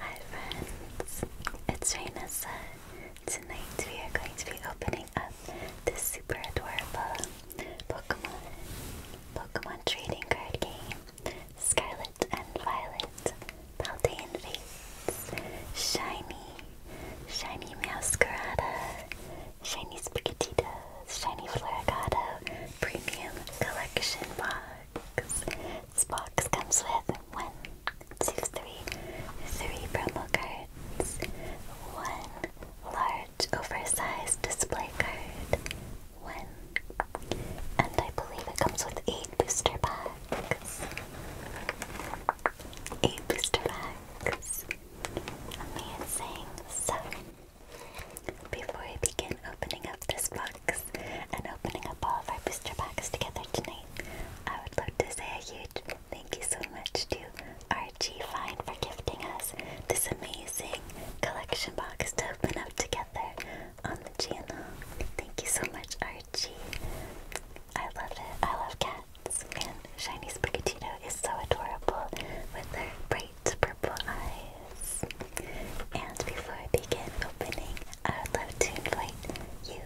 Hi friends, it's Rainessa. Tonight we are going to be opening up this super adorable Pokemon Pokemon trading card game. Scarlet and Violet, Paldean Fates, Shiny, Shiny Meowscarada, Shiny Spaghettitos, Shiny Floricato Premium Collection Box. This box comes with one, two, three, three promo cards, one large oversized display card, one, and I believe it comes with eight booster packs. Eight booster packs. Amazing. So before we begin opening up this box and opening up all of our booster packs together tonight, I would love to say a huge thank you so much to Archie Fine for gifting us this amazing collection box to open up together on the channel. Thank you so much, Archie. I love it. I love cats. And Shiny Sprigatito is so adorable with her bright bright purple eyes. And before I begin opening, I would love to invite you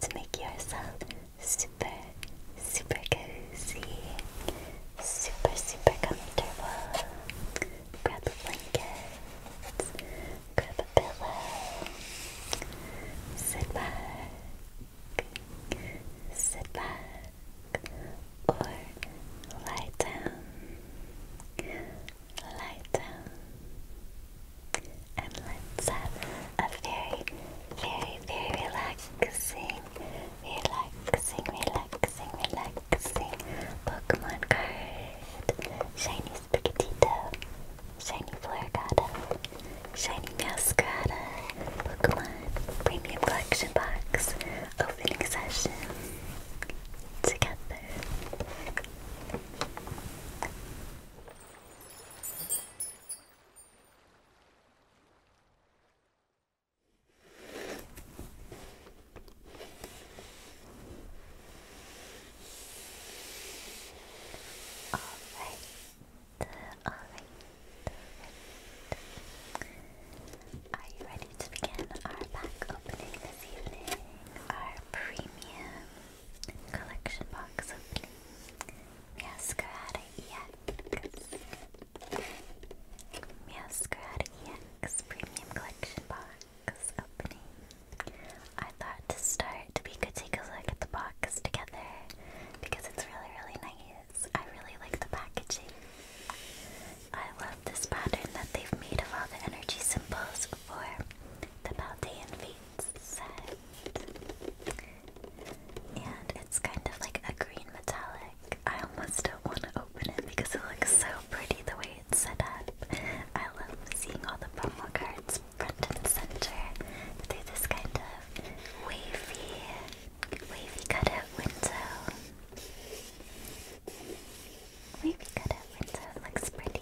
to make yourself super, super cozy, super, super comfortable. Grab a blanket, grab a pillow, sit back, sit back or lie down, lie down, and let's have a very, very, very relaxing, relaxing, relaxing, relaxing Pokemon card. Shiny Spigatito, Shiny Florgata, Shiny Meowscrata, Pokemon Premium Collection Box opening session together. All right, all right, all right. Are you ready to begin our pack opening this evening? Our premium collection box opening. Miascarada EX. Miascarada EX premium collection box opening. I thought to start we could take a look at the box together because it's really, really nice. I really like the packaging. I love this pattern that they've made of all the energy symbols for the Paldean Fates set. And it's kind of like a green metallic. I almost don't want to open it because it looks so pretty the way it's set up. I love seeing all the promo cards front and center through this kind of wavy, wavy cutout window. We've got looks pretty.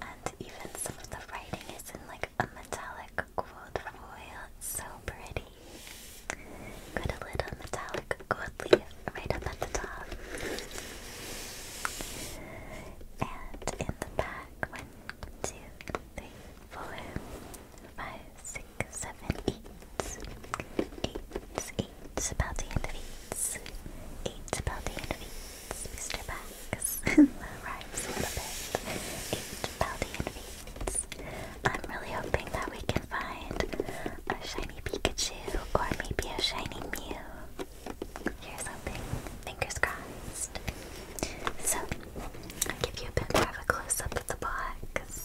And even some of the writing is in like a metallic gold foil, it's so pretty. Got a little metallic gold leaf right up at the top. And in the back, one, two, three, four, five, six, seven, eight. about the end of eights. the end Mr. Bax. that Eight about the end I'm really hoping that we can find a shiny Pikachu or maybe a shiny Mew. Here's hoping. Fingers crossed. So, I'll give you a bit more of a close up of the box.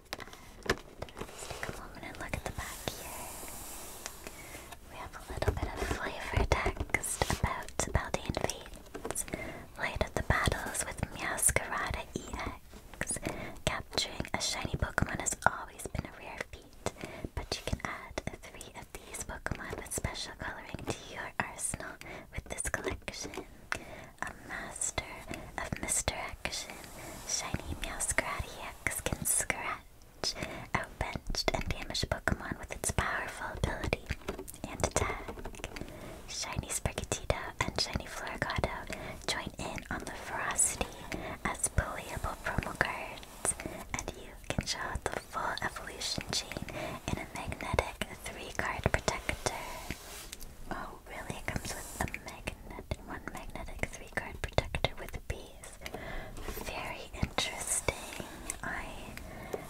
take a moment and look at the back here. We have a little bit of flavor text about Baldane feats. Late of the battles with Meowscarada EX. Capturing a shiny Pokemon has always been a rare feat, but you can add three of these Pokemon with special coloring to your arsenal with this collection. Um, master of misdirection, shiny meow can scratch, outbenched, and damage Pokemon with its powerful ability and attack. Shiny Sprigatito and Shiny Florgado join in on the ferocity as playable promo cards, and you can show out the full evolution chain in a magnetic three-card protector. Oh really? It comes with a magnet one magnetic three card protector with bees. Very interesting. I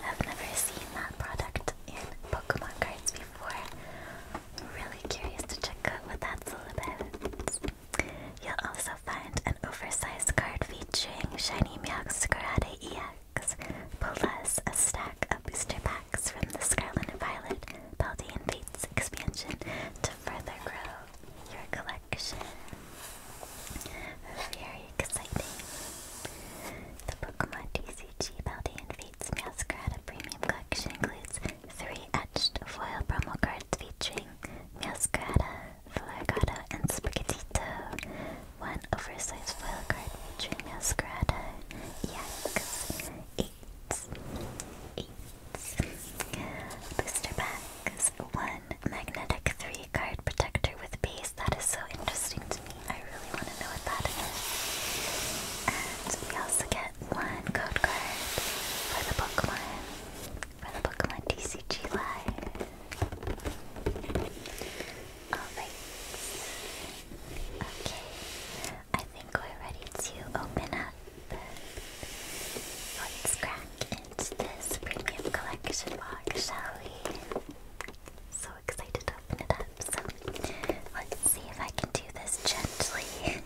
have never seen that product in Pokemon cards before. really curious to check out what that's all about. You'll also find an oversized card featuring Shiny Meowx Karate EX, plus a stack of booster packs from the Scarlet and Violet Paldean Fates expansion to further grow your collection. Very exciting. The Pokemon TCG Paldean Fates Meowscarada Premium Collection includes three etched foil promo cards featuring Meowscarada, Florgado, and Sprigatito. One oversized foil card featuring Meowscarada, Yaks, eight, eight Booster packs. One magnetic three card protector with base. That is so interesting to me. I really want to know what that is. And we also get one code card for the Pokemon. For the Pokemon TCG Live. Alright. Okay. I think we're ready to open up Let's crack into this premium collection box, shall we? So excited to open it up. So let's see if I can do this gently.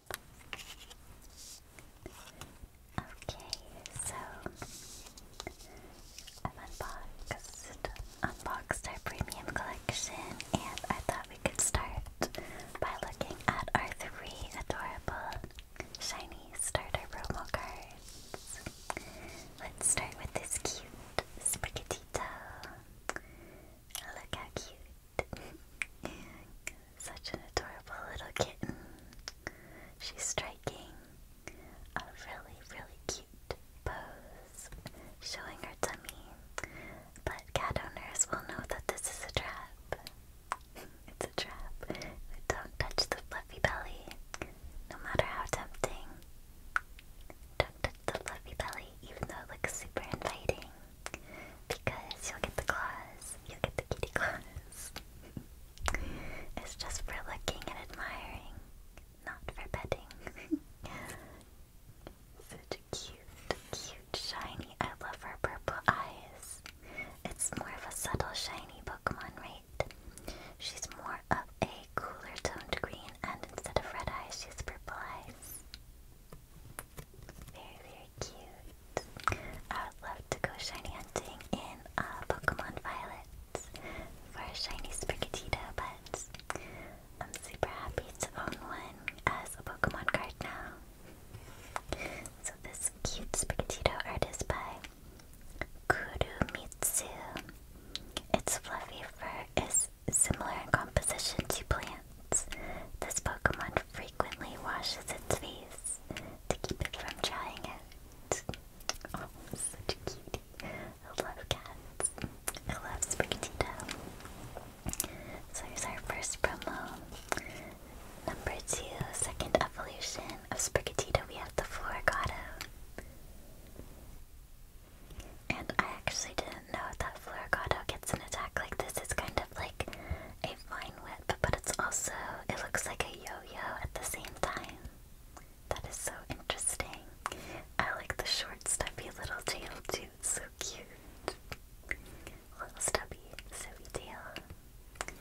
Okay, so i unboxed, unboxed our premium collection, and I thought we could start by looking at our three adorable shiny starter promo cards. Let's start with this cute Sprigatito. Look how cute Such an adorable little kitten. She's striking a really, really cute pose, showing her tummy. But cat owners will know that this is a trap. it's a trap. Don't touch the fluffy belly, no matter how tempting. Don't touch the fluffy belly, even though it looks super inviting. Because you'll get the claws, you'll get the kitty claws. it's just for looking and admiring, not for petting. Such cute, cute shiny. I love her purple eyes. It's more of a subtle shiny Pokemon, right? She's more of a cooler toned green, and instead of red eyes, she's purple eyes. Very, very cute. I would love to go shiny hunting in uh, Pokemon Violet for a shiny Sprigatito, but I'm super happy to own one as a Pokemon card now. So this cute Sprigatito art by Kurumitsu. Its fluffy fur is similar in composition to plants. This Pokemon frequently washes its face to keep it from drying out. Oh, such a cutie. I love cats. I love Sprigatito. So here's our first promo. Number two, second evolution of Sprigatito, we have the Florigato. And I actually didn't know that Florigato gets an attack like this. It's kind of like a vine whip, but it's also, it looks like a yo-yo at the same time. That is so interesting. I like the short, stubby little tail too. So cute. Little stubby, stubby tail.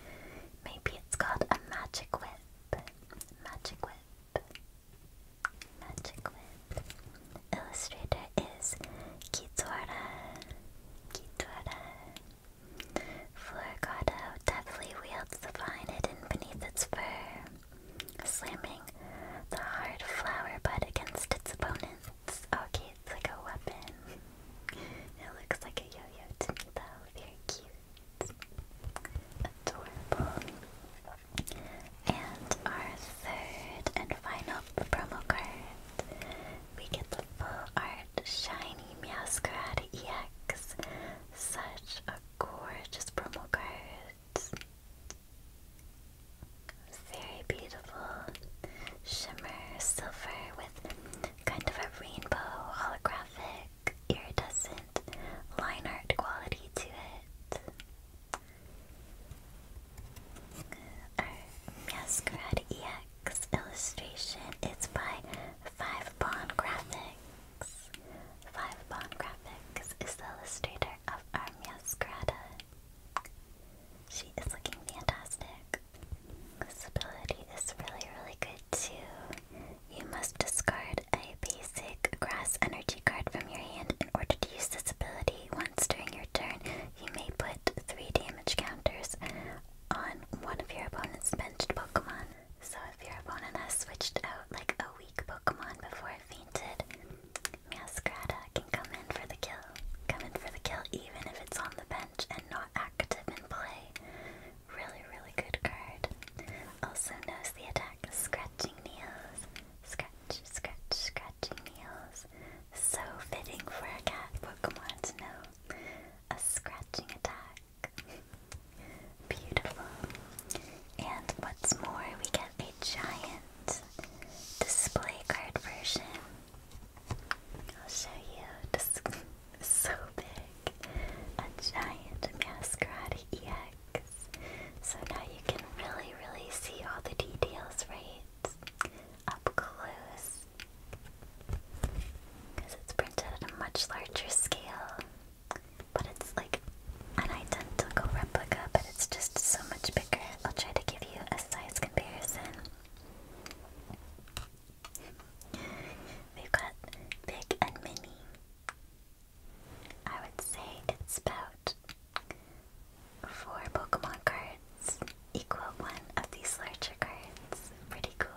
Maybe it's called a magic whip. Magic whip. Magic whip. Illustrator is Kitsuhara. Kitsuhara. Floricato deftly wields the vine hidden beneath its fur, slamming the hard flower bud against its opponents. Oh, okay, it's like a weapon. it looks like a yo-yo to me though, very cute. Adorable. And our third and final promo card we get the full art shiny Meowscarad EX. Such a gorgeous promo card. Very beautiful shimmer silver with kind of a rainbow holographic iridescent line art quality to it. Our Masquerade next illustration is by Five Bond Graphics. Five Bond Graphics is the illustrator of Armia Scrata. She is looking fantastic. This ability is really, really good too. You must discard a basic grass energy card from your hand in order to use this ability. Once during your turn, you may put three damage counters on one of your opponent's benched Pokemon. So if your opponent has switched out like a weak Pokemon before it fainted, Masquerada can come in for the kill. Come in for the kill even if it's on the bench and not active in play. Really, really good card. Also knows the attack, Scratching Nails. Scratch, scratch, scratching nails. So fitting for a cat Pokemon to know a scratching attack. Beautiful. And what's more, we get a giant display card version. I'll show you. so big. A giant Masquerade EX. So now you can really, really see all the details, right? up close because it's printed at a much larger scale. But it's like an identical replica, but it's just so much bigger. I'll try to give you a size comparison. We've got big and mini. I would say it's about four Pokemon cards equal one of these larger cards. Pretty cool.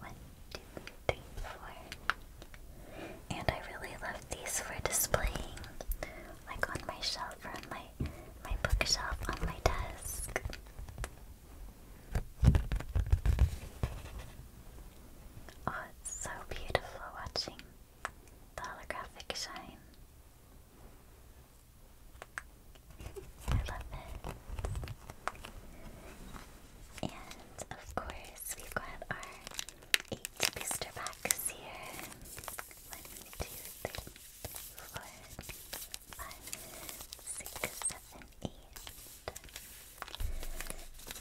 One, two, three, four. And I really love these for displaying, like on my shelf or on my my bookshelf on my desk. Oh, it's so beautiful watching the holographic shine. I love it. And of course, we've got our eight booster packs here. One, two, three, four, five, six, seven, eight.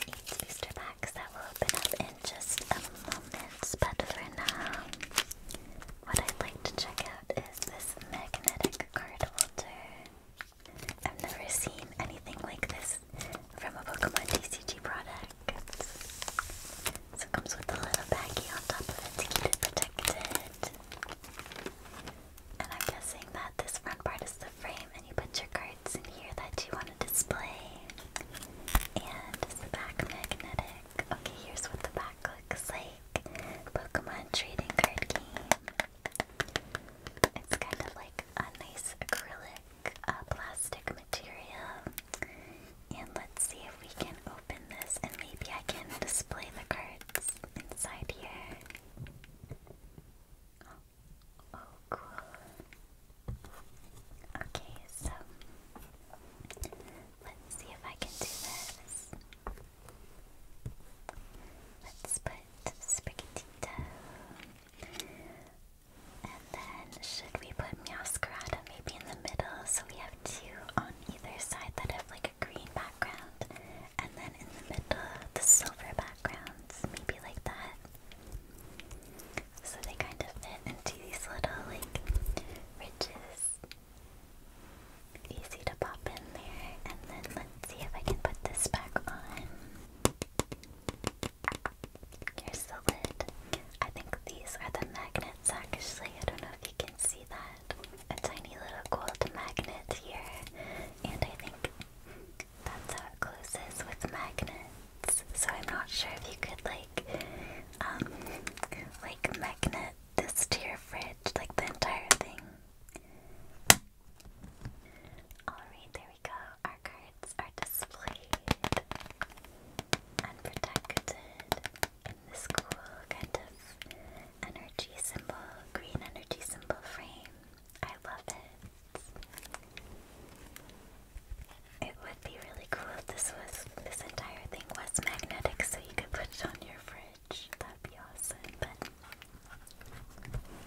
Eight booster packs that will open up in just a moment. But for now, what I'd like to check out this magnetic card holder. I've never seen anything like this from a Pokemon TCG product. So it comes with a little baggie on top of it to keep it protected. And I'm guessing that this front part is the frame and you put your cards in here that you want to display. And the back magnetic? Okay, here's what the back looks like. Pokemon trading card game. It's kind of like a nice acrylic uh, plastic material. And let's see if we can open this and maybe I can display the cards inside here. oh cool. Okay, so let's see if I can do this. Let's put Sprigatito. And then should we put Meowscarada maybe in the middle so we have two on either side that have like a green background and then in the middle the silver backgrounds, maybe like that. So they kind of fit into these little like ridges. Easy to pop in there, and then let's see if I can put this back on. Here's the lid. I think these are the magnets actually. I don't know if you can see that. A tiny little gold magnet here. And I think that's how it closes with magnets. So I'm not sure if you could like um like magnet this to your fridge, like the entire thing. Alright, there we go. Our cards are displayed and in this cool kind of energy symbol, green energy symbol frame. I love it. It would be really cool if this was this entire thing was magnetic so you could put it on your fridge. That'd be awesome.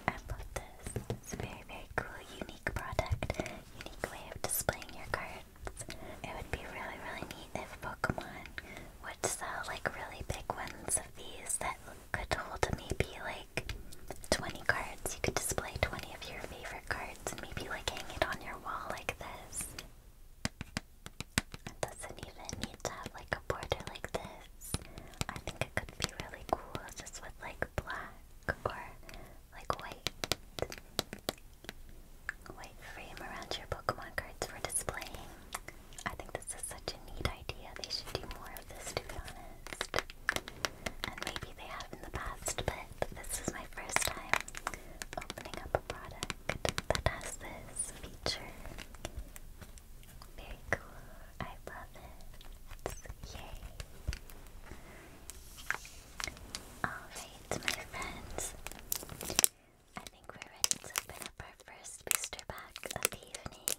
I love this. It's a very, very cool, unique product. Unique way of displaying your cards. It would be really, really neat if Pokemon would sell like really big ones of these that could hold maybe like 20 cards. You could display 20 of your favorite cards and maybe like hang it on your wall like this. It doesn't even need to have like a border like this. I think it could be really cool just with like black or like white. White frame around your Pokemon cards for displaying. I think this is such a neat idea. They should do more of this to be honest. And maybe they have in the past, but this is my first time opening up a product that has this feature. Very cool. I love it. Yay. Alright, my friends. I think we're ready to open up our first booster pack of the evening.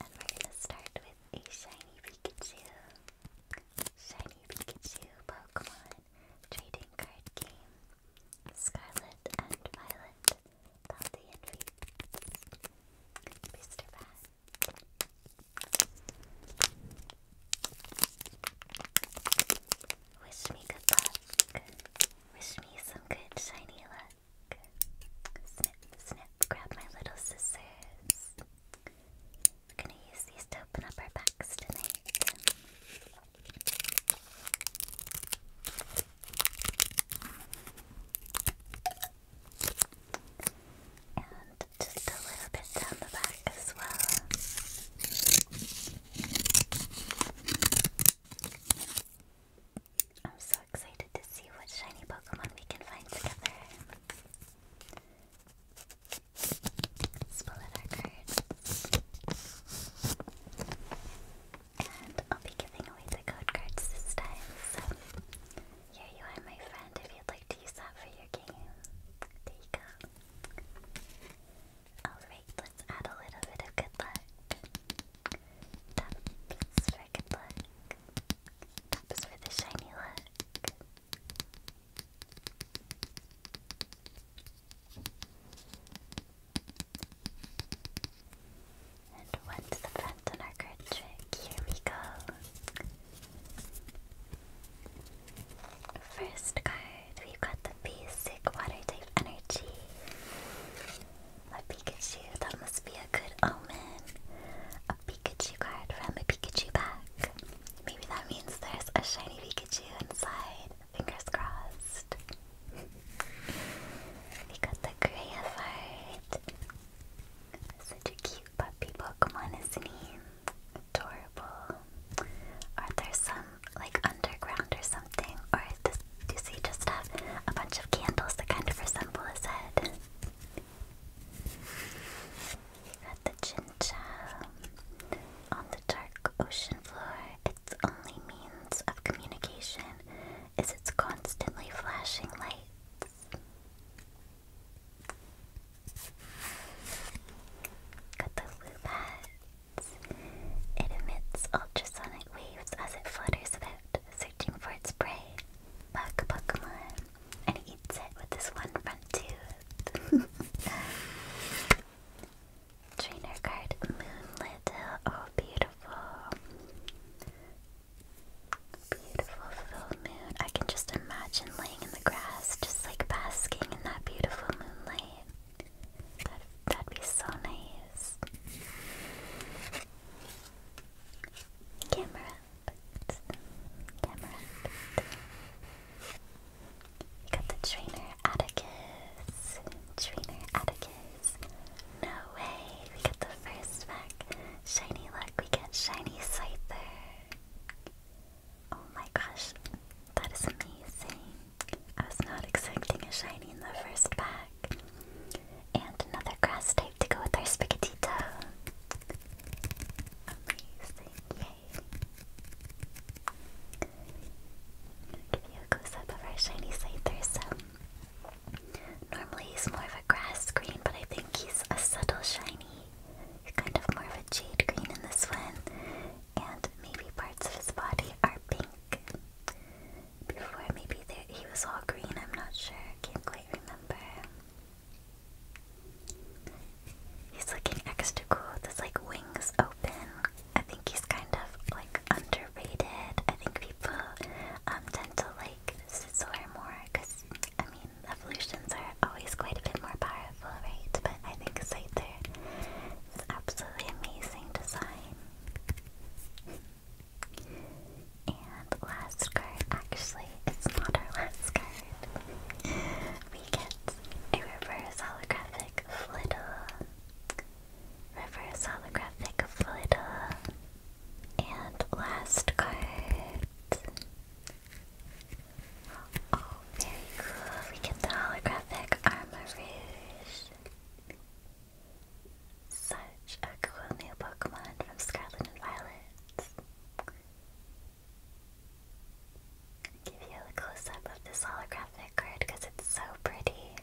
And we're gonna start with a shiny Pikachu. Shiny Pikachu Pokemon Trading Card Game. Scarlet and Violet. Baldy Henry, Mr. Bat. Wish me good luck. Wish me some good shiny luck. Snip, snip, grab my little scissors. gonna use these to open up our packs tonight. And just a little bit down the back as well. I'm so excited to see what shiny Pokemon we can find together. Let's pull out our cards. And I'll be giving away the code cards this time, so here you are, my friend, if you'd like to use that for your game. There you go. Alright, let's add a little bit of good luck. Taps for good luck. Taps for the shiny luck. And one to the front on our card trick. Here we go. First card, we got the basic water type energy. A Pikachu, that must be a good omen. A Pikachu card from a Pikachu pack. Maybe that means there's a shiny Pikachu inside. Fingers crossed we got the Gray of Heart. Such a cute puppy Pokemon, isn't he? Adorable. Are there some like underground or something? Or does, does he just have a bunch of candles that kind of resemble his head? We got the Chinchou on the dark ocean floor. Its only means of communication is its constantly flashing lights. Got the blue pads. It emits ultrasonic waves as it flutters about, searching for its prey. Bug And eats it with this one front tooth. Trainer card, Moonlit Oh, beautiful. Beautiful full moon. I can just imagine laying in the grass, just like basking in that beautiful moonlight. That, that'd be so nice. Camera Camera up. got the trainer Atticus. Trainer Atticus guys. No way! We got the first pack. Shiny luck, we get Shiny Scyther. Oh my gosh, that is amazing. I was not expecting a shiny in the first pack. And another grass type to go with our Spigatito. Amazing, yay. give you a close up of our shiny Scyther, so Normally he's more of a grass green, but I think he's a subtle shiny. Kind of more of a jade green in this one. And maybe parts of his body are pink. Before maybe he was all green, I'm not sure. Can't quite remember. He's looking extra cool with his like wings open. I think he's kind of like underrated. I think people um, tend to like Scizor more because, I mean, evolutions are always quite a bit more powerful, right? But I think Scyther is absolutely amazing design. and last card, actually, it's not our last card. we get a reverse holographic Flittle. Reverse holographic Flittle. And last card. Oh, very cool. We get the holographic Armor Such a cool new Pokemon from Scarlet and Violet. give you a close up of this holographic card because it's so pretty.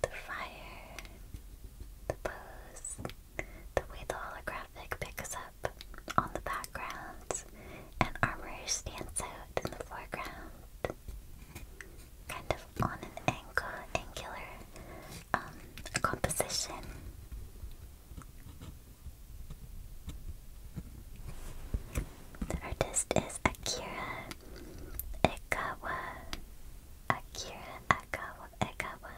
The fire, the pose, the way the holographic picks up on the background, and armor stands out in the foreground. Kind of on an angular um, composition. The artist is Akira Ekawa. Akira Akawa, Ekawa.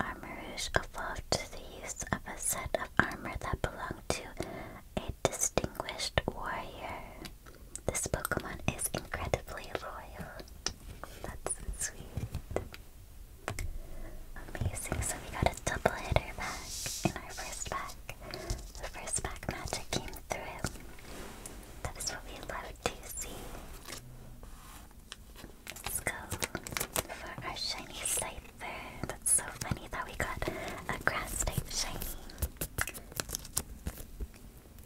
Armor Rouge evolved to the use of a set of armor that belonged to a distinguished warrior. This Pokemon is incredibly loyal. That's sweet. Amazing. So we got a double hitter back in our first pack. The first pack magic came through. That is what we love to see. Let's go for our shiny there. That's so funny that we got a grass type shiny.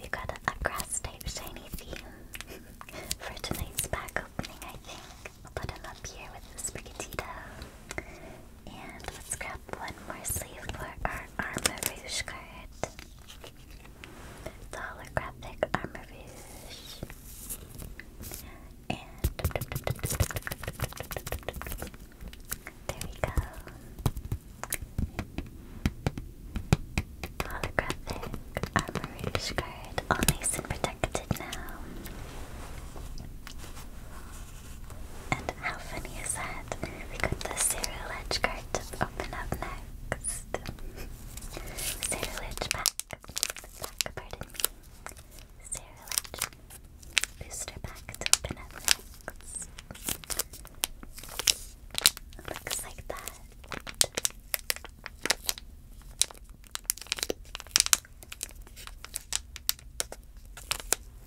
We got a, grass type shiny theme for tonight's pack opening, I think. I'll put him up here with the Sprigatito. And let's grab one more sleeve for our Armor Rouge card. The holographic Armor Rouge. And there we go. Holographic Armor Rouge card. All nice and protected now. And how funny is that? We got the Sarah Ledge card open up next. Sarah Ledge pack. Pack, pardon me. Sarah Ledge booster pack open up next. Looks like that.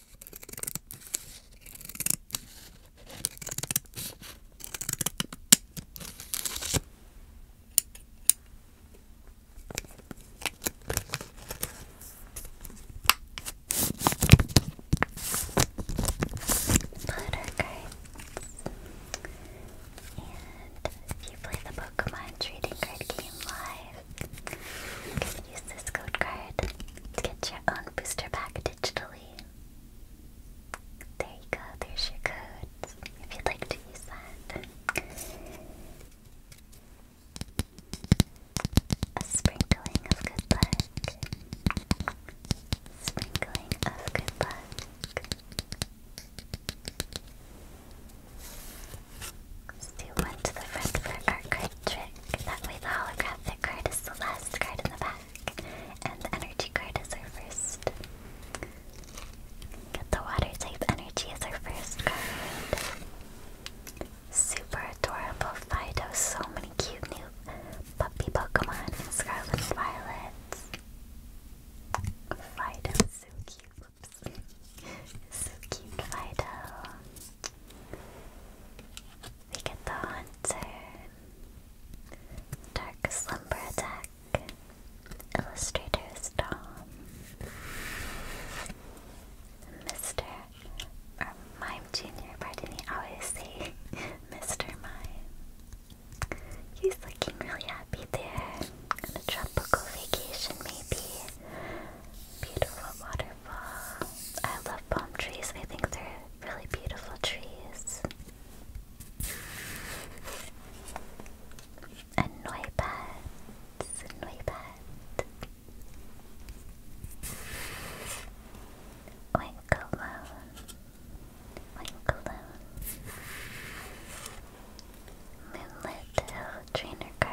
Butter cards. And if you play the Pokemon trading card game live, you can use this code card to get your own booster pack digitally. There you go, there's your code if you'd like to use that. A sprinkling of good luck. Sprinkling of good luck. Let's do one to the front for our card trick. That way the holographic card is the last card in the back, and the energy card is our first. the water type energy as our first card. Super adorable Fido, so many cute new puppy Pokemon Scarlet and Violet. Fido's so cute, whoops. so cute Fido. We get the Hunter, Dark Slumber Attack, Illustrator's Dom, Mr. or Mime Jr., pardon me, always say Mr. Mime. He's looking really happy there. a tropical vacation, maybe. Beautiful water I love palm trees. I think they're really beautiful trees. A Noibat. A Noibat. Moonlit Trainer Card.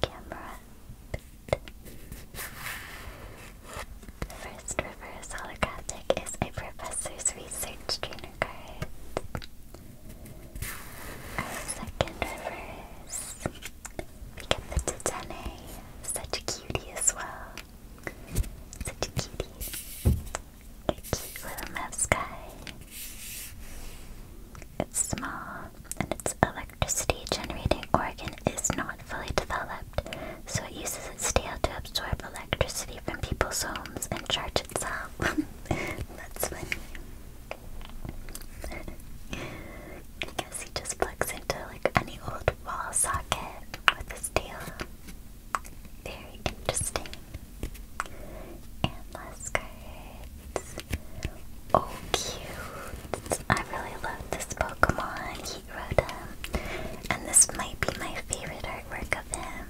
Camera. First reverse holographic is a professor's research trainer card. Our second reverse. We get the Titane. Such a cutie as well. Such a cutie. A cute little mouse guy it's small, and its electricity generating organ is not fully developed, so it uses its tail to absorb electricity from people's homes and charge itself. That's funny. I guess he just plugs into like any old wall socket with his tail. Very interesting. And last cards. Oh, cute. I really love this Pokemon. He wrote um, And this might be my favorite artwork of him.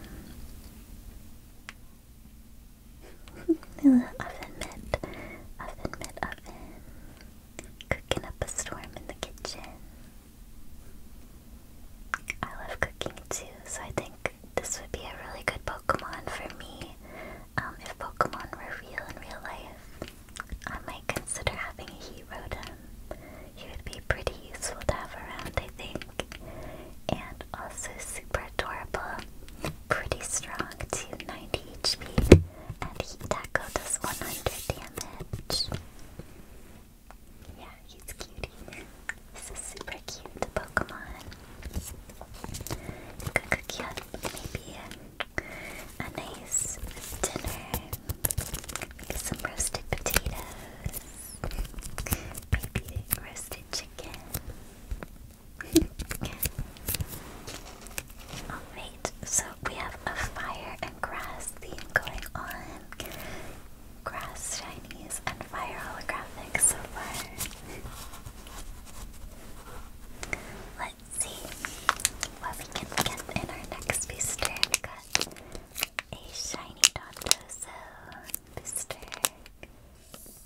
oven mitt. Oven mitt oven. Cooking up a storm in the kitchen. I love cooking too, so I think this would be a really good Pokemon for me. Um, if Pokemon were real in real life, I might consider having a Herodan. He would be pretty useful to have around, I think. And also super adorable. Pretty strong, 290 HP. And he Tackle does 100 damage. Yeah, he's cutie. This is super cute, the Pokemon. You could cook you maybe a, a nice dinner. Maybe some roasted potatoes. Maybe roasted chicken. Alright, so we have a fire and grass theme going on. Grass Chinese and fire holographic so far. Let's see what we can get in our next booster. a shiny Dondozo booster.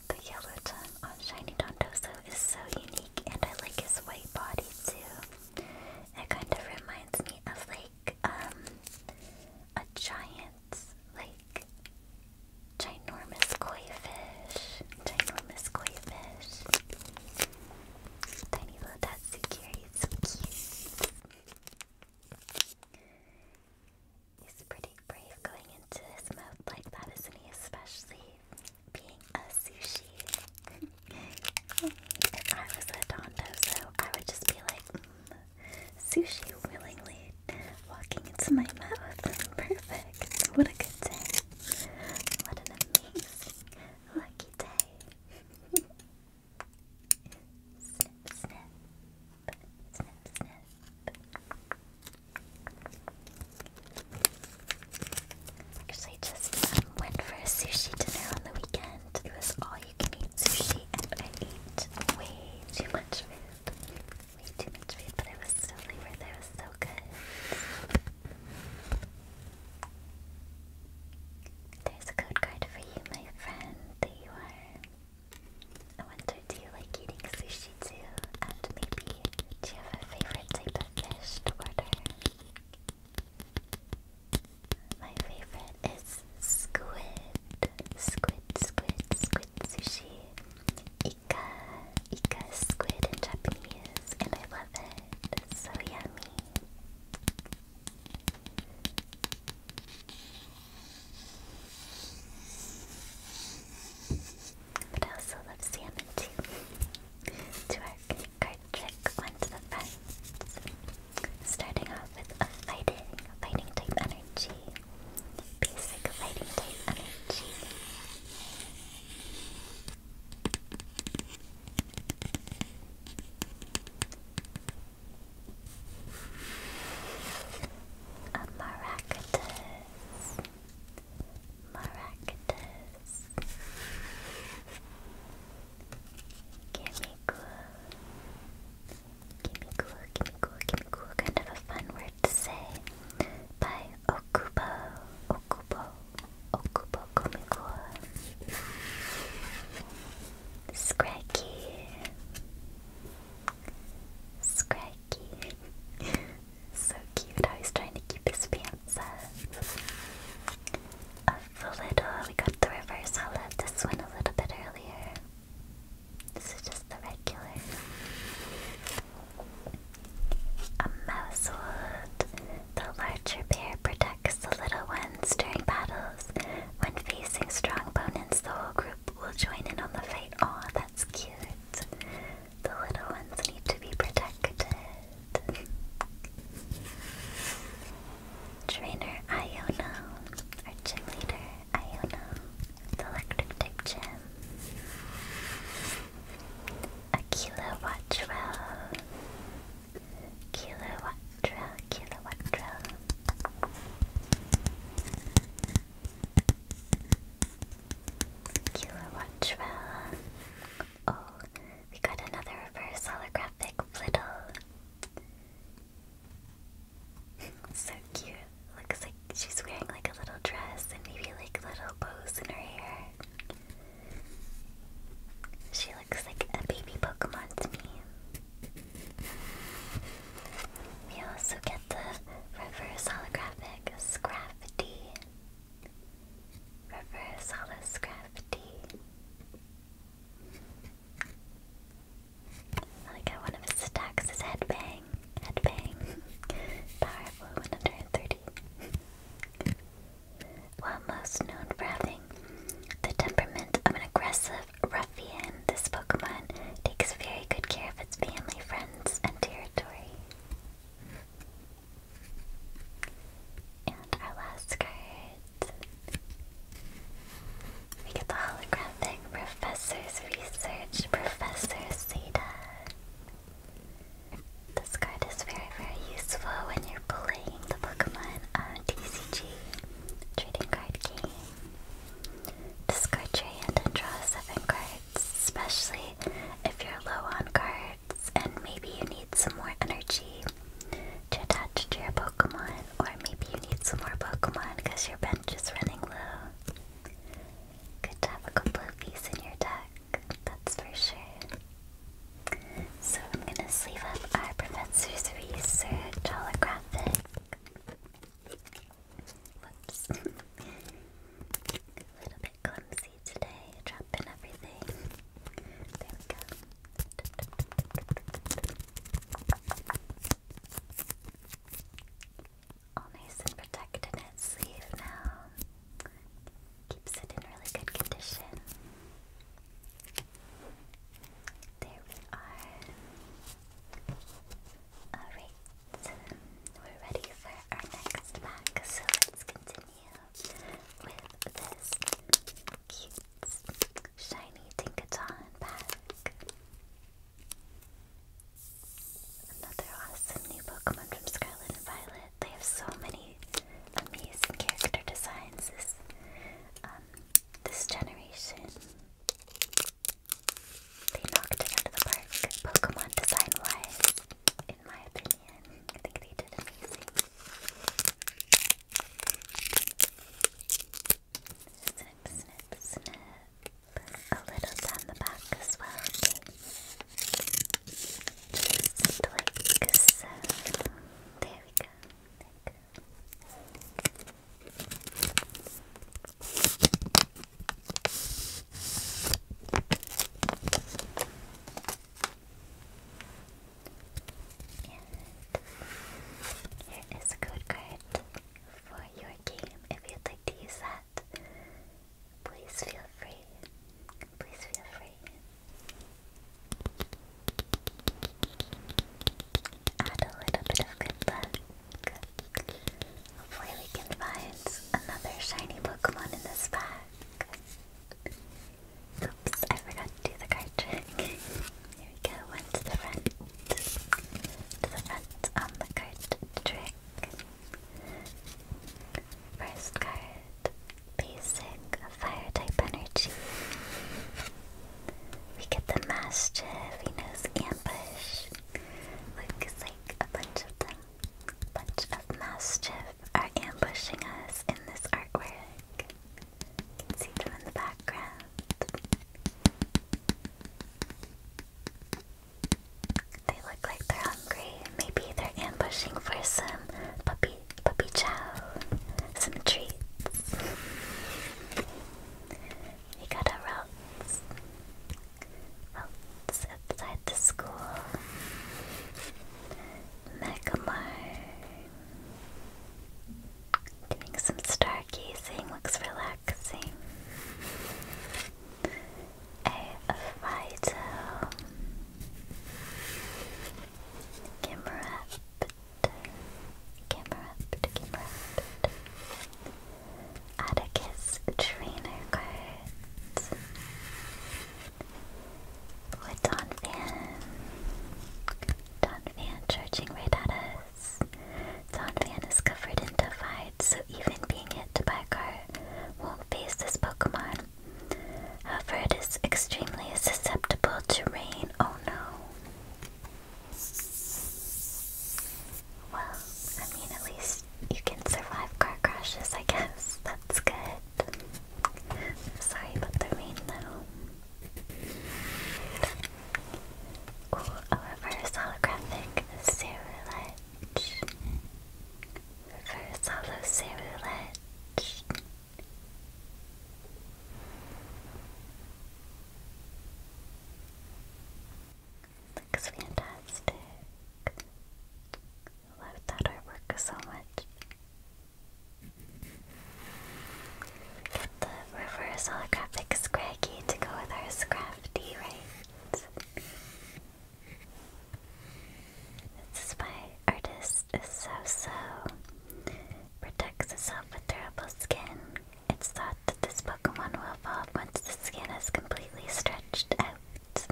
The yellow tongue on shiny Dondozo is so unique, and I like his white body too. It kind of reminds me of like um, a giant that's like ginormous koi fish, ginormous koi fish. Tiny little tatsukiri, so cute. He's pretty brave going into his mouth like that, isn't he? Especially being a sushi. if I was a Dondo, I would just be like, mm, sushi willingly walking into my mouth. Perfect. What a good day. What an amazing, lucky day. Actually, just went for a sushi dinner on the weekend. It was all you can eat sushi, and I ate way too much food way too much food, but it was so good. There's a code card for you, my friend. There you are. I wonder, do you like eating sushi too? And maybe, do you have a favorite type of fish to order? My favorite is squid. Squid, squid, squid sushi. Ika, Ika squid in Japanese, and I love it. It's so yummy. But I also love salmon too. to our card trick, one to the front. Starting off with a fighting, fighting type energy. Basic lighting A maractus. Maractus. Gimme cool. Gimme cool, gimme cool, gimme cool. Kind of a fun word to Say by Okubo, Okubo, Okubo Komiko. Scraggy, Scraggy. so cute how he's trying to keep his pants up. A little, we got the reverse. I left this one a little bit earlier. This is just the regular. A mouse The larger bear protects the little ones during battles. When facing strong opponents, the whole group will join in on the fight. Aw, that's cute. The little ones need to be protected. Trainer Iona, our leader Iona the electric type gem. A kilowattra. Kilowattra, kilowattra. Kilowattra. Oh, we got another reverse holographic flittle. so cute. Looks like she's wearing like a little dress and maybe like little bows in her hair. She looks like a baby Pokemon to me. We also get the reverse holographic Scrafty. Reverse holo I like one of his headbang. Headbang, headbang. Powerful 130. While most known for having the temperament of an aggressive ruffian, this Pokemon takes very good care of its family, friends, and territory. And our last card. We get the holographic Professor's Research, Professor Seda. This card is very, very useful when you're playing the Pokemon uh, TCG trading card game. Discard your hand and draw seven cards, especially if you're low on cards and maybe you need some more energy to attach to your Pokemon, or maybe you need some more Pokemon because your bench is running low. Good to have a in your deck, that's for sure. So I'm gonna sleeve up our professor's research holographic. Whoops. a little bit clumsy today, dropping everything. There we go all nice and protected in its sleeve now. Keeps it in really good condition. There we are. Alright, we're ready for our next pack, so let's continue with this cute, shiny Tinkaton pack. Another awesome new Pokemon from Scarlet Violet. They have so many amazing character designs this, um, this generation. They knocked it out of the park, Pokemon design-wise, in my opinion. I think they did amazing. Snip, snip, snip a little down the back as well, okay? Just like so. There we go. There we go. And here is a code card for your game if you'd like to Please feel free. Please feel free. Add a little bit of good luck. Hopefully we can find another shiny Pokemon in this pack. Oops, I forgot to do the card trick. Here we go, one to the front. To the front on the card trick. First card, basic fire type energy. We get the Mastiff, he knows ambush. Looks like a bunch of them. bunch of Mastiff are ambushing us in this artwork. see them in the background. They look like they're hungry. Maybe they're ambushing for some puppy puppy chow. Some treats. we got a routes. Routes outside the school. Megamar. Doing some stargazing looks relaxing a Fido, Kimmerupt, Kimmerupt, Kimmerupt, Atticus Trainer Cards, with Don Van, Don Van charging right Don Van is covered in divide, even being hit by a car won't phase this Pokemon. However, it is extremely susceptible to rain. Oh no. Well, I mean, at least you can survive car crashes, I guess. That's good. Sorry about the rain though. Ooh, a holographic Cerulite. Reverse Holosei Roulette. Looks fantastic. I that artwork so much. the reverse holographic Scraggy to go with our Scrafty, right? This is why artist is so so. Protects itself with durable skin. It's thought that this Pokemon will evolve once the skin is completely stretched out.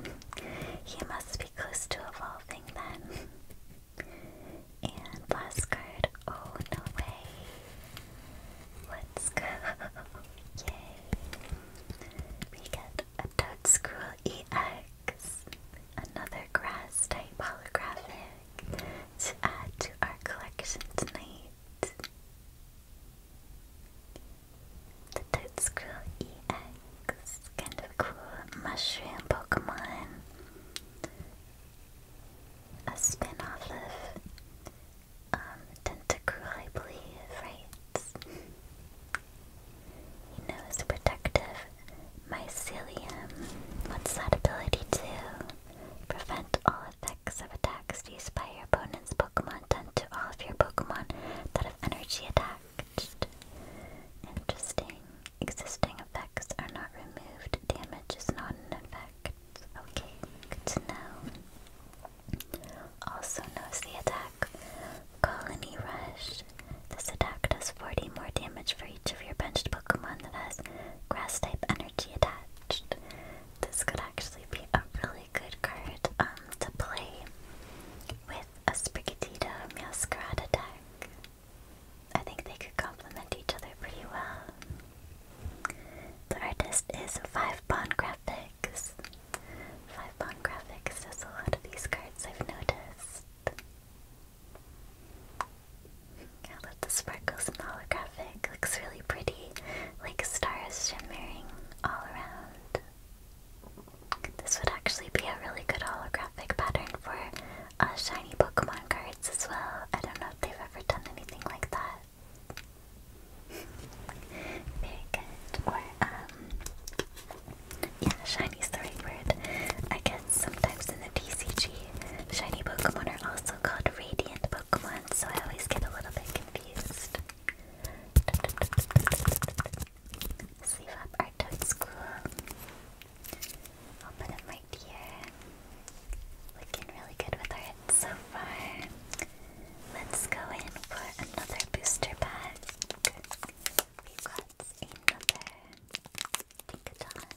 he must be close to evolving then. and last card. Oh no way. Let's go. Yay. We got a Toadscroll EX, another grass type holographic to add to our collection tonight. The Toadscroll EX, kind of cool mushroom Pokemon. A spin off of um, Tentacruel, I believe, writes He knows protective mycelium. What's that ability to? Prevent all effects of attacks used by your opponent's Pokemon done to all of your Pokemon that have energy attached. Interesting. Existing effects are not removed. Damage is not an effect. Okay, good to know. Also knows the attack. Colony Rush. This attack does 40 more damage for each of your benched Pokemon that has grass type energy attached. This could actually be a really good card um, to play with a Sprigatito Meowscarada deck. I think they could complement each other pretty well. The artist is 5 Bond graphics. Five pound graphics does a lot of these cards I've noticed. I love the sparkles and the holographic. Looks really pretty, like stars shimmering all around. This would actually be a really good holographic pattern for uh, shiny Pokemon cards as well. I don't know if they've ever done anything like that. Very good. Or, the right word. I guess sometimes in the TCG, shiny Pokemon are also called radiant Pokemon, so I always get a little bit confused. Sleeve up our toad school. I'll right here. Looking really good with our so far. Let's go in for another booster pack. we got another Dinkaton. Another Dinkaton pack.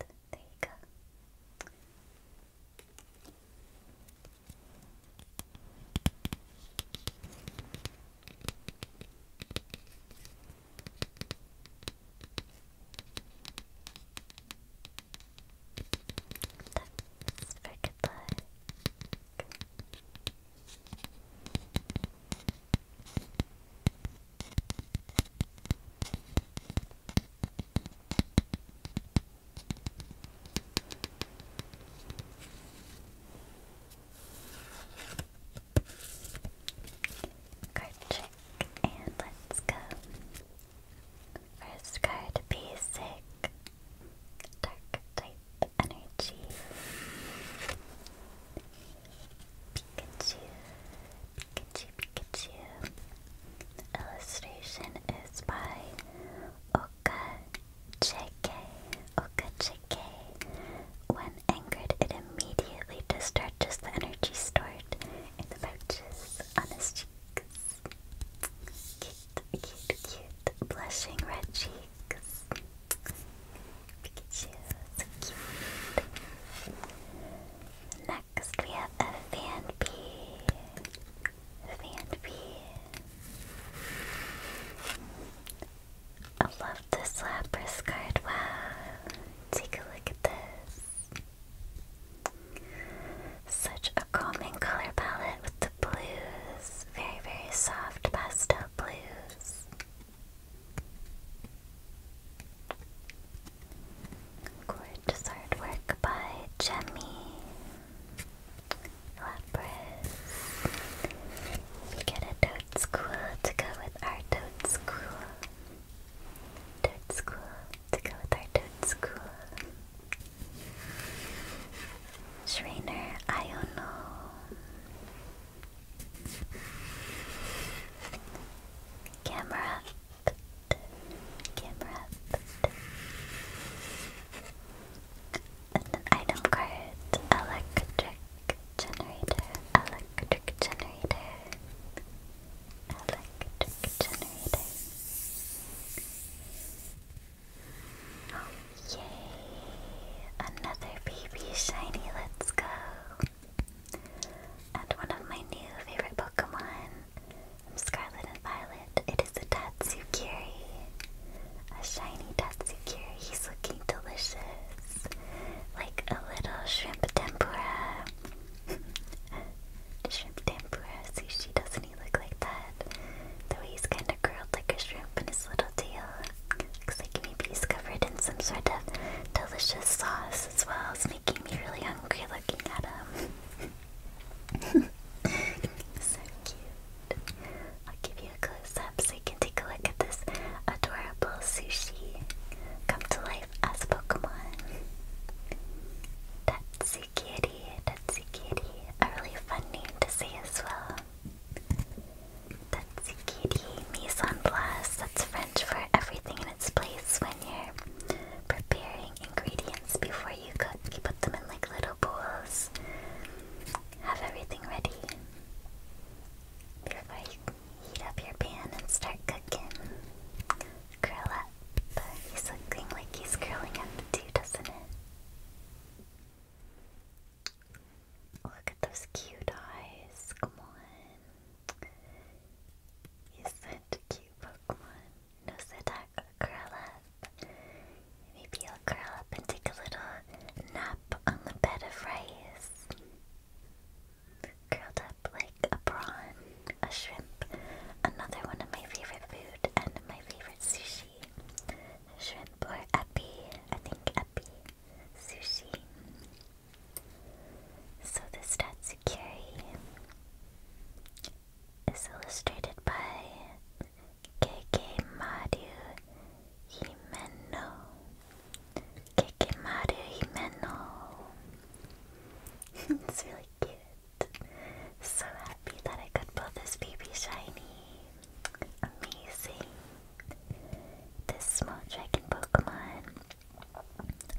There you go. That's for Card trick, and let's go. First card, basic, dark type energy. Pikachu, Pikachu, Pikachu. The illustration is by Oka JK. Oka JK. When angered, it immediately discharges the energy stored in the pouches on his cheeks. Cute, cute, cute. Blushing red cheeks. Pikachu, so cute. Next Next we have a fan bee. Fan bee. love this Lapras Wow. Take a look at this. Such a calming color palette with the blues. Very, very soft pastel blues. Gorgeous artwork by Jemmy Lapras. We get a toad school to go with our toad school. Toad school to go with our toad school. Trainer Iono. Camera camera up, and an item card, electric generator, electric generator, electric generator. Oh yay! Another baby shiny. Let's go. And one of my new favorite Pokemon Scarlet and Violet, it is a Tatsukiri. A shiny Tatsukiri. He's looking delicious. Like a little shrimp tempura. shrimp tempura sushi, doesn't he look like that? Though he's kind of curled like a shrimp in his little tail. Looks like maybe he's covered in some sort of delicious sauce as well making me really hungry looking at him. so cute. I'll give you a close up so you can take a look at this adorable sushi come to life as Pokemon. Tatsukiri, Tatsukiri, a really fun name to say as well. Tatsukiri mise that's French for everything place when you're preparing ingredients before you cook. You put them in like little bowls. Have everything ready before you heat up your pan and start cooking. Curl up. But He's looking like he's curling up too, doesn't it? Look at those cute eyes. Come on. He's and cute Pokemon. Nosedak or curl up. Maybe i will curl up and take a little nap on the bed of rice. Curled up like a prawn, a shrimp, another one of my favorite food and my favorite sushi. Shrimp or epi, I think epi. Sushi. So this Tatsukiri is illustrated by Keke Maru Himeno. Keke it's really cute. So happy that I could pull this baby shiny. Amazing. This small dragon Pokemon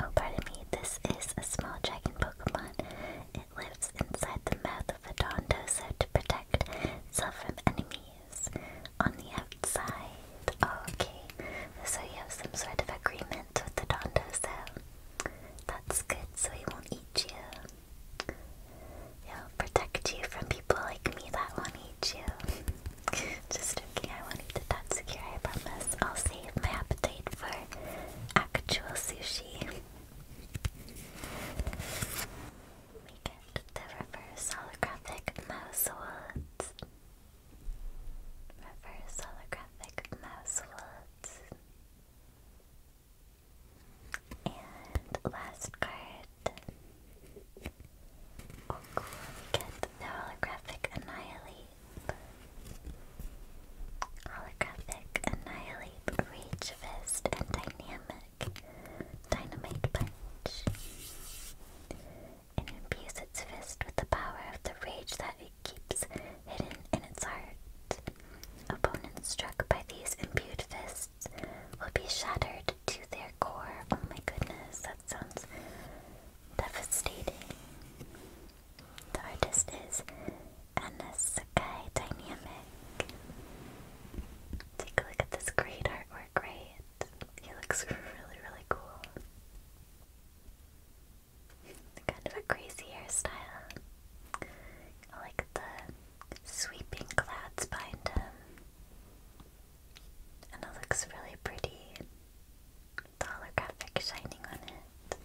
Oh, pardon me, this is a small dragon Pokemon. It lives inside the mouth of a Dondozo to protect itself from enemies on the outside. Oh, okay, so you have some sort of agreement with the Dondozo. That's good, so he won't eat you. He'll protect you from people like me that won't eat you. Just joking, I won't eat the Tatsukiri, I promise. I'll save my appetite for actual sushi. We get the reverse holographic mouse woods. Reverse holographic mouse woods. And last card. Oh cool, we get the holographic annihilate. Holographic, Annihilate, Rage Fist, and Dynamic. Dynamite Punch. It imbues its fist with the power of the rage that it keeps hidden in its heart. Opponents struck by these imbued fists will be shattered to their core. Oh my goodness, that sounds devastating. The artist is Anna Sakai Dynamic. Take a look at this great artwork, right? He looks really, really cool. Kind of a crazy hairstyle. I like the sweeping clouds behind him. And it looks really pretty the holographic shining on it.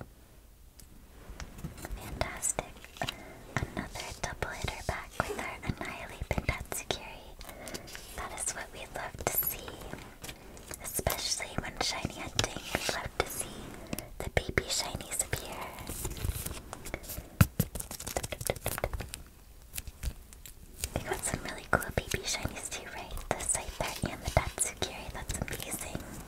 Fantastic. Another double hitter back with our Annihilate and Tatsukiri. That is what we love to see. Especially when shiny hunting, we love to see the baby shinies appear. They got some really cool baby shinies too, right? The Scyther and the Tatsukiri, that's amazing.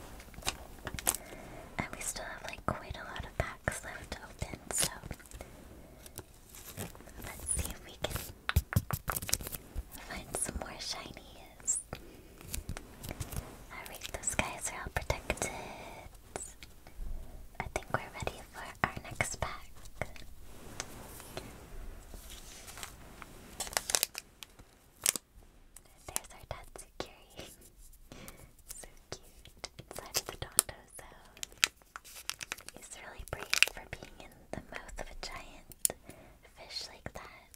And we still have like quite a lot of packs left open, so let's see if we can find some more shinies. Alright, those guys are all protected. I think we're ready for our next pack. There's our Tatsukiri. so cute. Inside of the Dondo Zone. He's really brave for being in the mouth of a giant fish like that.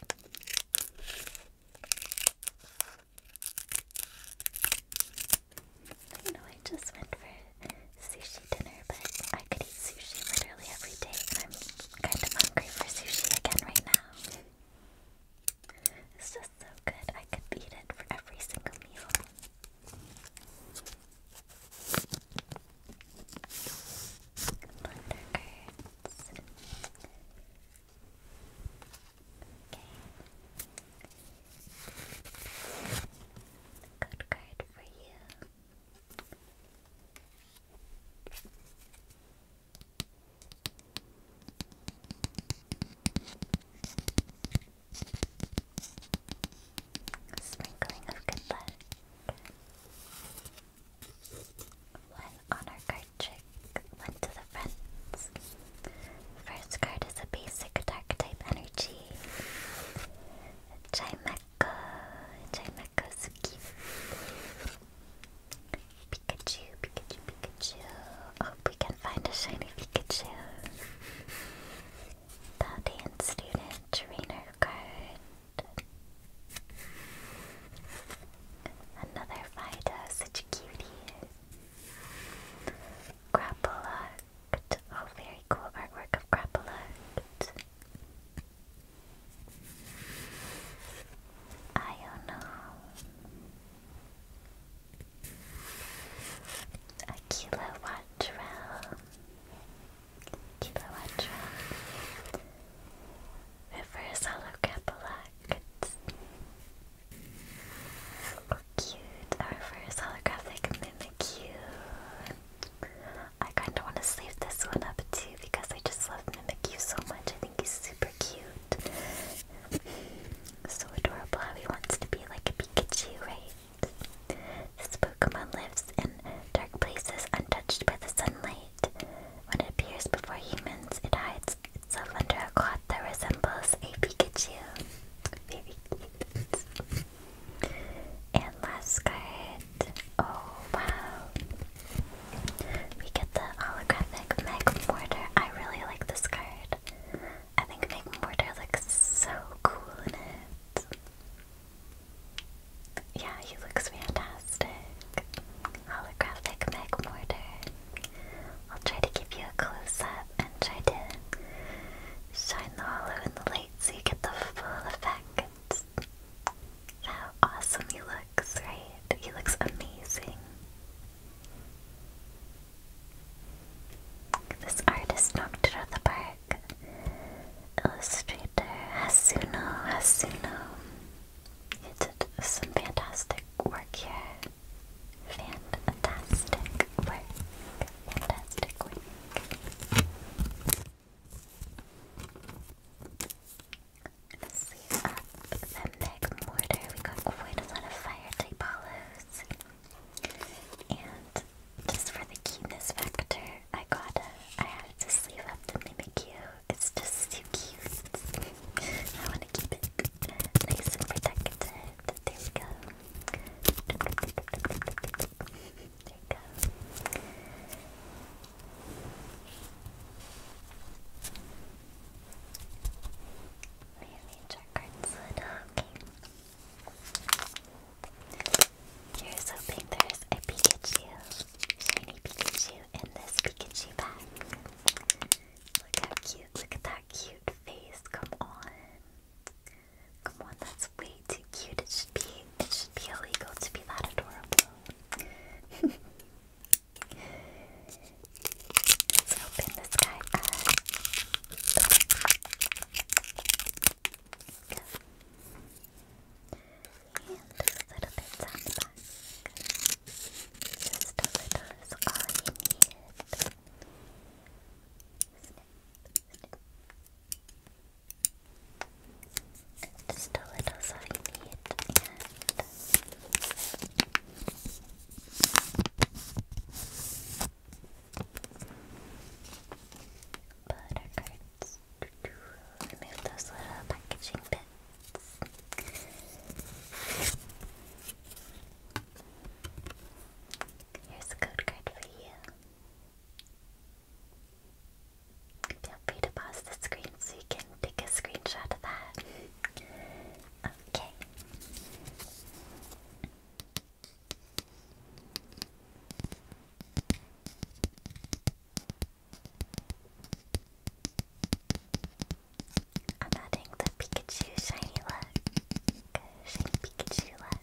I know I just went for sushi dinner, but I could eat sushi literally every day, I'm kind of hungry for sushi again right now. It's just so good. I could eat it for every single meal. Okay. Good card for you. A sprinkling of good luck. One honor card trick, one to the friends. First card is a basic dark energy. Chimeko, Chimeko Suki. Pikachu, Pikachu, Pikachu. Hope oh, we can find a shiny Pikachu. Paladin student trainer card. Another Vida, such a cutie. Oh, very cool artwork of Grappalact. I don't know. A kilowatt trail. Kilowatt trail. Reverse holographic. Oh, cute. A reverse holographic Mimikyu. I kind of want to sleeve this one up too because I just love Mimikyu. Thank you so much. I think he's super cute. So adorable how he wants to be like a Pikachu, right? This Pokemon lives in dark places untouched by the sunlight. When it appears before humans, it hides itself under a cloth that resembles a Pikachu. Very cute. And last card. Oh wow. We get the holographic Meg I really like this card. I think Meg Mortar looks so cool in it. Yeah, he looks fantastic. Holographic Meg I'll try to give you a close up and try to shine the hollow in the light so you get the full effect. How awesome he looks, right? He looks amazing. This artist knocked it out of the park. Illustrator Hasuno Hasuno. He did some fantastic work here. Fantastic work. Fantastic work. Let's see, up the Meg Mortar. We got quite a lot of fire type hollows. And just for the keenness factor, I got a, I had to sleeve up the Mimikyu. It's just too cute. I want to keep it nice and protected. There we go. There we go. We need your cards Okay. Here's hoping there's a Pikachu, shiny Pikachu in this Pikachu pack. Look how cute, look at that cute face, come on. Come on, that's way too cute. It should be it should be illegal to be that adorable. Let's open this guy up. And a little bit the back. Just a little is all you need. Snip, just a little side meat and Remove those little packaging bits. Here's a code card for you. Feel free to pause the screen so you can take a screenshot of that. okay. I'm adding the Pikachu shiny look. Shiny Pikachu look.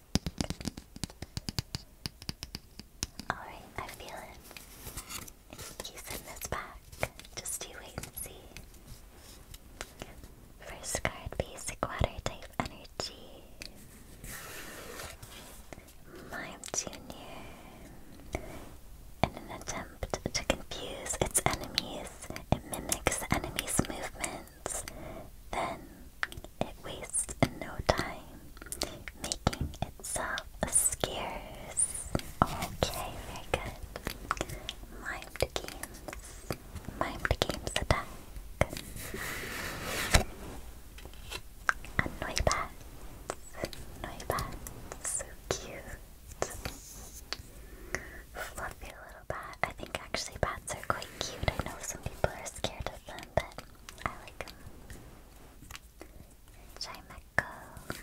Alright, I feel it. He's in this pack. Just you wait and see. First card, basic water type energy. Mime Jr. In an attempt to confuse its enemies, it mimics the movements. Then it wastes no time, making itself scares. Okay, very good. Mimed games. Mimed games attack. Annoy bats. Annoy bats. So cute. Fluffy little bat. I think actually bats are quite cute. I know some people are scared of them, but I like them. Chimeco,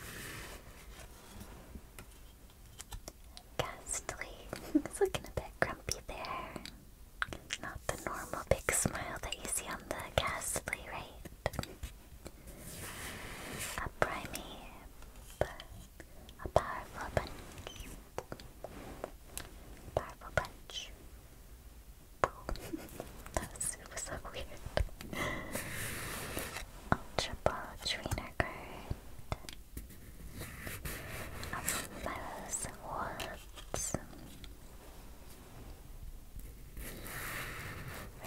Ghastly, it's looking a bit grumpy there. Not the normal big smile that you see on the Ghastly, right? A Primeape, a powerful bunch, powerful bunch. that it was so weird. Ultra Trainer card. Umbrellas Woods.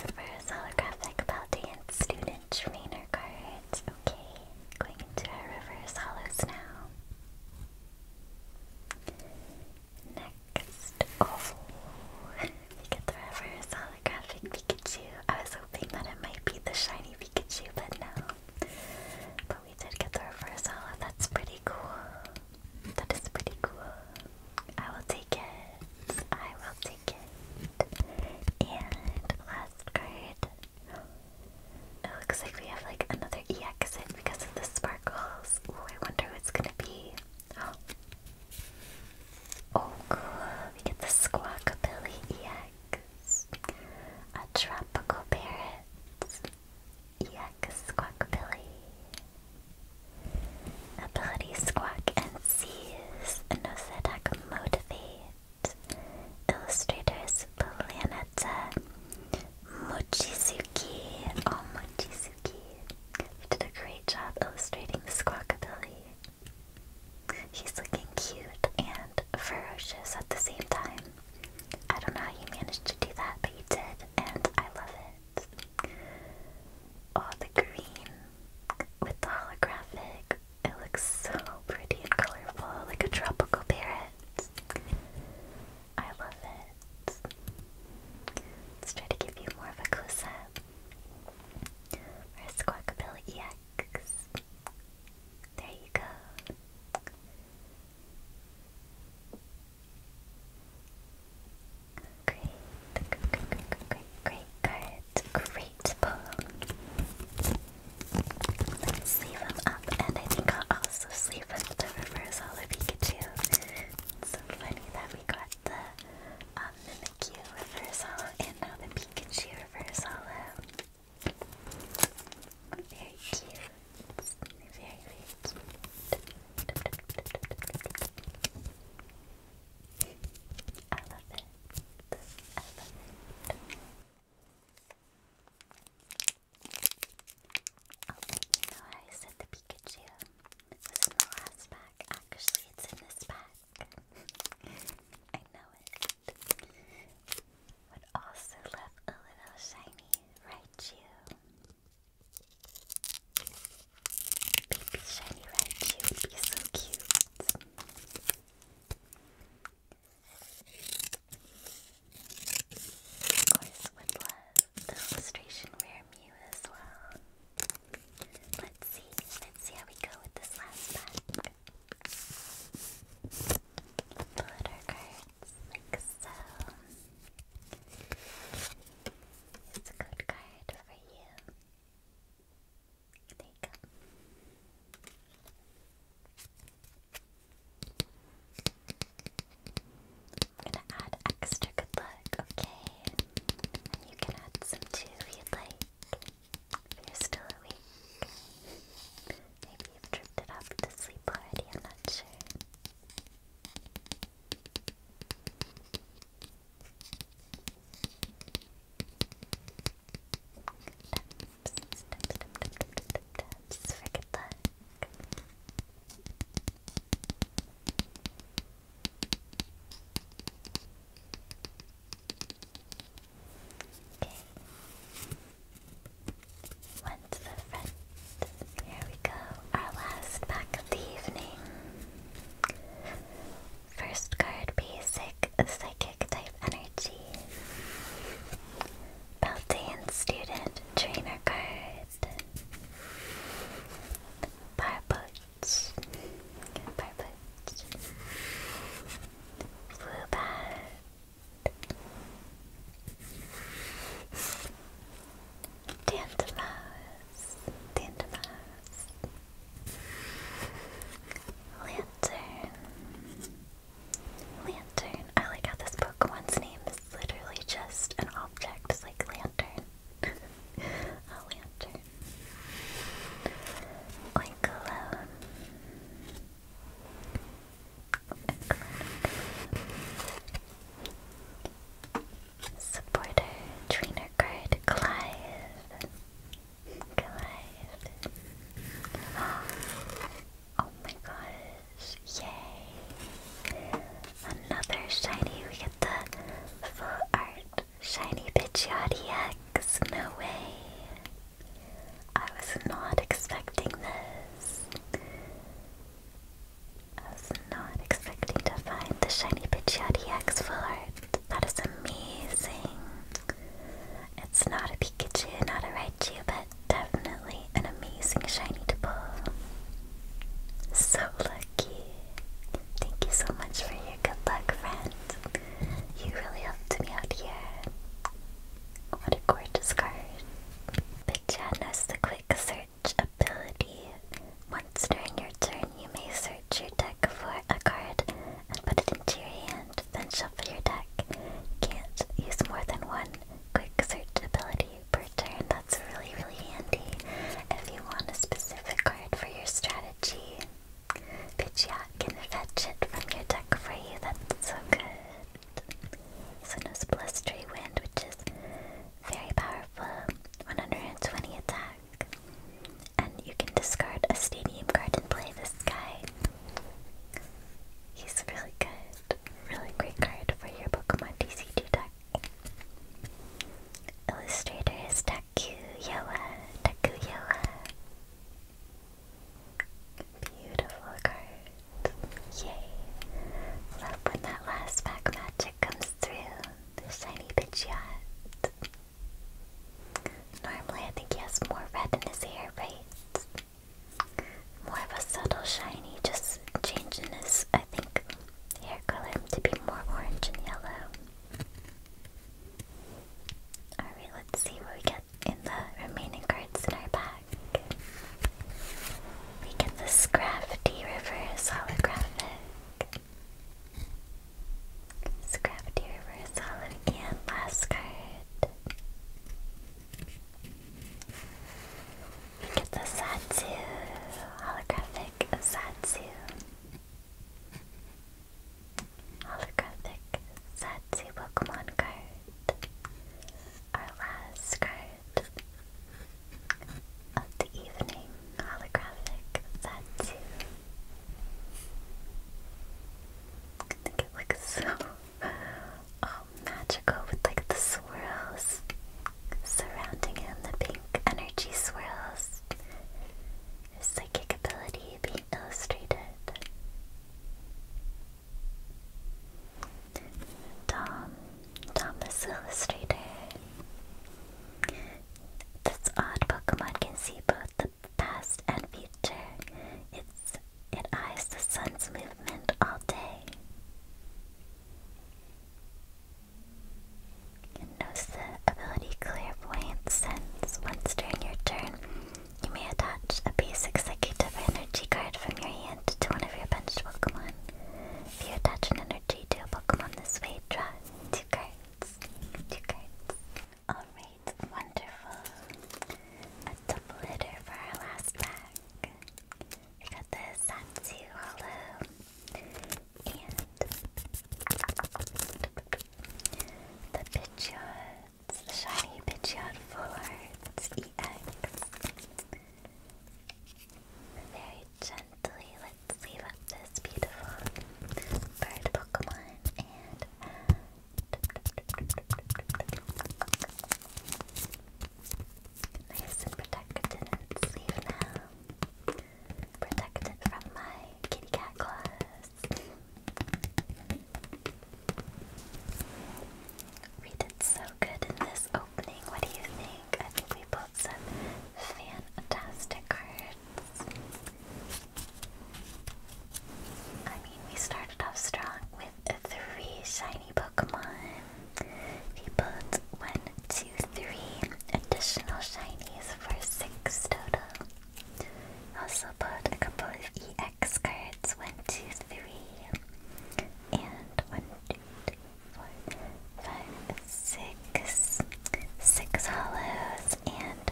Reverse holographic Paldean Student Trainer cards. Okay, going into reverse hollows now. Next, oh, you get the reverse holographic Pikachu. I was hoping that it might be the shiny Pikachu, but no. But we did get the reverse holo. That's pretty cool. That is pretty cool. I will take it. I will take it. And last card. It looks like we have like another EX in because of the sparkles. Ooh, I wonder who it's gonna be. Oh, oh cool. We get the Squawkabilly EX. A tropical parrot. EX Squawkabilly. Ability Squawk and Seize. Nosedak Motivate. Illustrators Planeta. Mochizuki. Oh, Mochizuki. You did a great job illustrating the Squawkabilly. He's looking cute and ferocious at the same time. I don't know how he managed to do that, but he did, and I love it. Oh, the green with the holographic. It looks so pretty and colorful, like a tropical parrot. I love it. Let's try to give you more of a close up. Or There you go. Great, great, great, great, great, great cards. Great pull. Let's sleeve him up, and I think I'll also sleeve up the reverse holo Pikachu. so funny that we got the Thank you, and now the Pikachu Reverse Very cute. Very, cute. I love it. I love it. Oh, you I said the Pikachu was in the last pack. Actually, it's in this pack. I know it. Would also love a little shiny Raichu. Baby shiny Raichu would be so cute. Of course, would love the illustration rare Mew as well. Let's see. Let's see how we go with this last pack. Pull out our like so. It's a good card for you. There you go. I'm gonna add extra good luck, okay? And you can add some too if you'd like. If you're still awake. Maybe you've drifted off to sleep already, I'm not sure. Okay. the front. There we go. Our last pack of the evening. First card basic psychic type energy. Beltane student trainer card. Barbo Parblets. Parblets. Woobat. Dandamouse. Lantern. Lantern. I like how this Pokemon's name is literally just an object, it's like lantern a lantern. Or cologne. Supporter, trainer card, Clive. Clive. Oh my gosh, yay! Another shiny, we get the full art Shiny Pidgeotix, no way. I was not expecting this. I was not expecting to find the shiny Pidgeotix full art. That is amazing. It's not a Pikachu, not a Raichu, but definitely an amazing shiny to pull. So lucky. Thank you so much for your good luck, friend. You really helped me out here. What a gorgeous card. Bichan has the quick search ability. Once during your turn, you may search your deck for a card and put it into your hand, then shuffle your deck. can't use more than one quick search ability per turn. That's really, really handy if you want a specific card for your strategy. Pidgeot can fetch it from your deck for you, that's so good. So knows Blustery Wind, which is very powerful, 120 attack. And you can discard a stadium card and play this guy. He's really good. Really great card for your Pokemon TCG deck. Illustrator is down Takuyawa, Takuyawa. Beautiful cards. Yay. Love when that last pack magic comes through. shiny Pidgeot. Normally I think he more red in his More of a subtle shiny, just changing his, I think, hair color to be more orange and yellow. Alright, let's see what we get in the remaining cards in our pack. We get the Scrafty Reverse Holographic. Scrafty Reverse Holographic and last card. We get the Satsu Holographic of Satsu holographic Satsu Pokemon card. Our last card of the evening, holographic Satsu. I think it looks so um, magical with like the swirls surrounding him, the pink energy swirls. His psychic ability being illustrated. Tom, Thomas Illustrator. This odd Pokemon can see both the past and future. It's it eyes the sun's movement all day. And notice the ability Clairvoyant Since Once during your turn, you may attach a basic Psychic energy card from your hand to one of your benched Pokemon. If you attach an energy to a Pokemon this way, draw two cards. Two cards. Alright, wonderful. A double hitter for our last pack. We got the Satsu Hollow and the Pidgeot, the shiny Pidgeot for Arts EX. Very gently, let's leave up this beautiful bird Pokemon and. Nice and protected in its now. Protect it from my kitty cat claws. we did so good in this opening. What do you think? I think we pulled some fantastic cards. I mean, we started off strong with three shiny Pokemon. We put one, two, three additional shinies for six total. Also put a couple of EX cards, one, two, three, and one, two, three, four, five, six, six hollows, and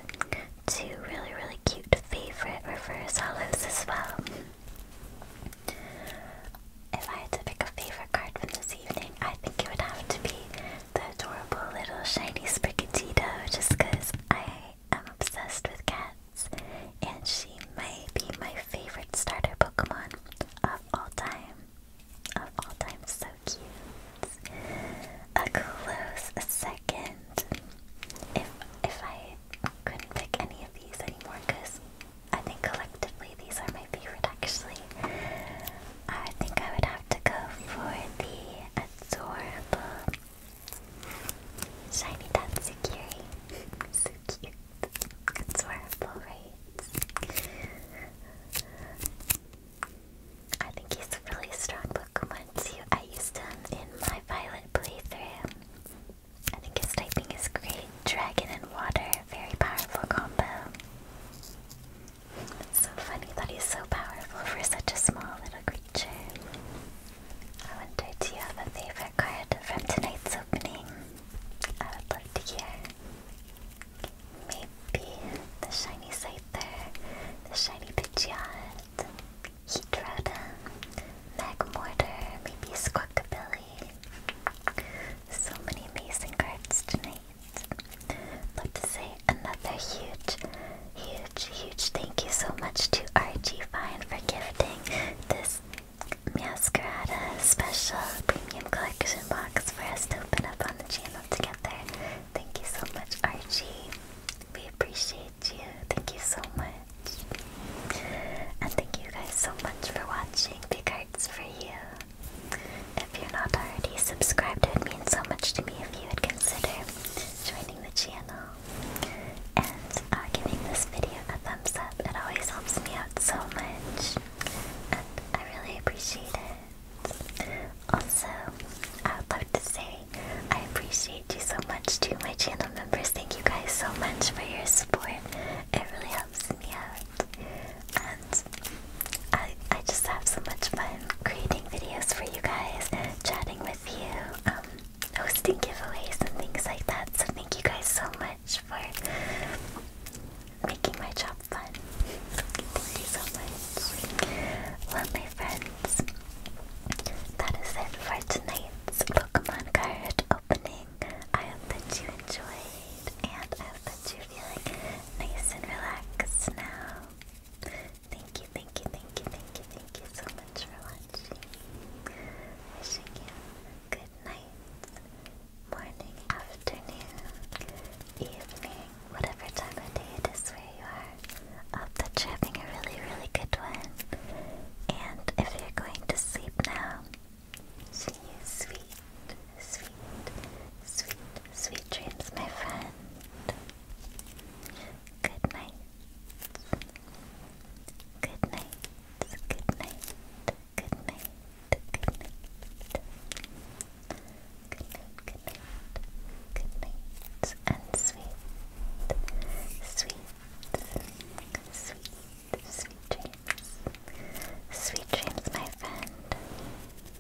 two really, really cute favorite reverse hollows as well. If I had to pick a favorite card from this evening, I think it would have to be the adorable little shiny Sprigatito just because I am obsessed with cats and she might be my favorite starter Pokemon of all time. Of all time, so cute. A close second. If if I couldn't pick any of these anymore, because I think collectively these are my favorite actually. I think I would have to go for the adorable. Shiny Tatsukiri. so cute. Adorable, right? I think he's a really strong Pokemon too. I used him in my Violet playthrough. I think his typing is great. Dragon and water, very powerful combo. It's so funny that he's so powerful for such a small little creature. I wonder, do you have a favorite card from tonight's opening? I would love to hear. Maybe the shiny Scyther, the shiny Pidgeot, Heatrota, Magmortar, maybe Squawkabilly. So many amazing cards tonight. Love to say another huge, huge, huge thank you so much to Archie Fine for gifting this Masquerada special premium collection box for us to open up on the channel together. Thank you so much, Archie. We appreciate you. Thank you so much. And thank you guys so much for watching. Big hearts for you. If you're not already subscribed, it would mean so much to me if you would consider joining the channel and uh, giving this video a thumbs up. It always helps me out so much, and I really appreciate it. Also, I would love to say I appreciate you so much to my channel members. Thank you guys so much for your support. It really helps me out. And I, I just have so much fun creating videos for you guys, chatting with you, um, hosting giveaways and things like that. So thank you guys so much for making my job fun. Thank you so much. Well, my friends, that is it for tonight's Pokemon card opening. I hope that you enjoyed, and I hope that you're feeling nice and relaxed now. Thank you, thank you, thank you, thank you, thank you so much for watching. Wishing you good night, morning, afternoon, evening, whatever time of day it is where you are. Hope that you're having a really, really good one. And if you're going to sleep now, see sweet, sweet, sweet, sweet dreams, my friend. Good night. Good night. Good night. Good night. Good night. Good night. Good night. Good night. And sweet. Sweet. Sweet. Sweet dreams. Sweet dreams, my friend.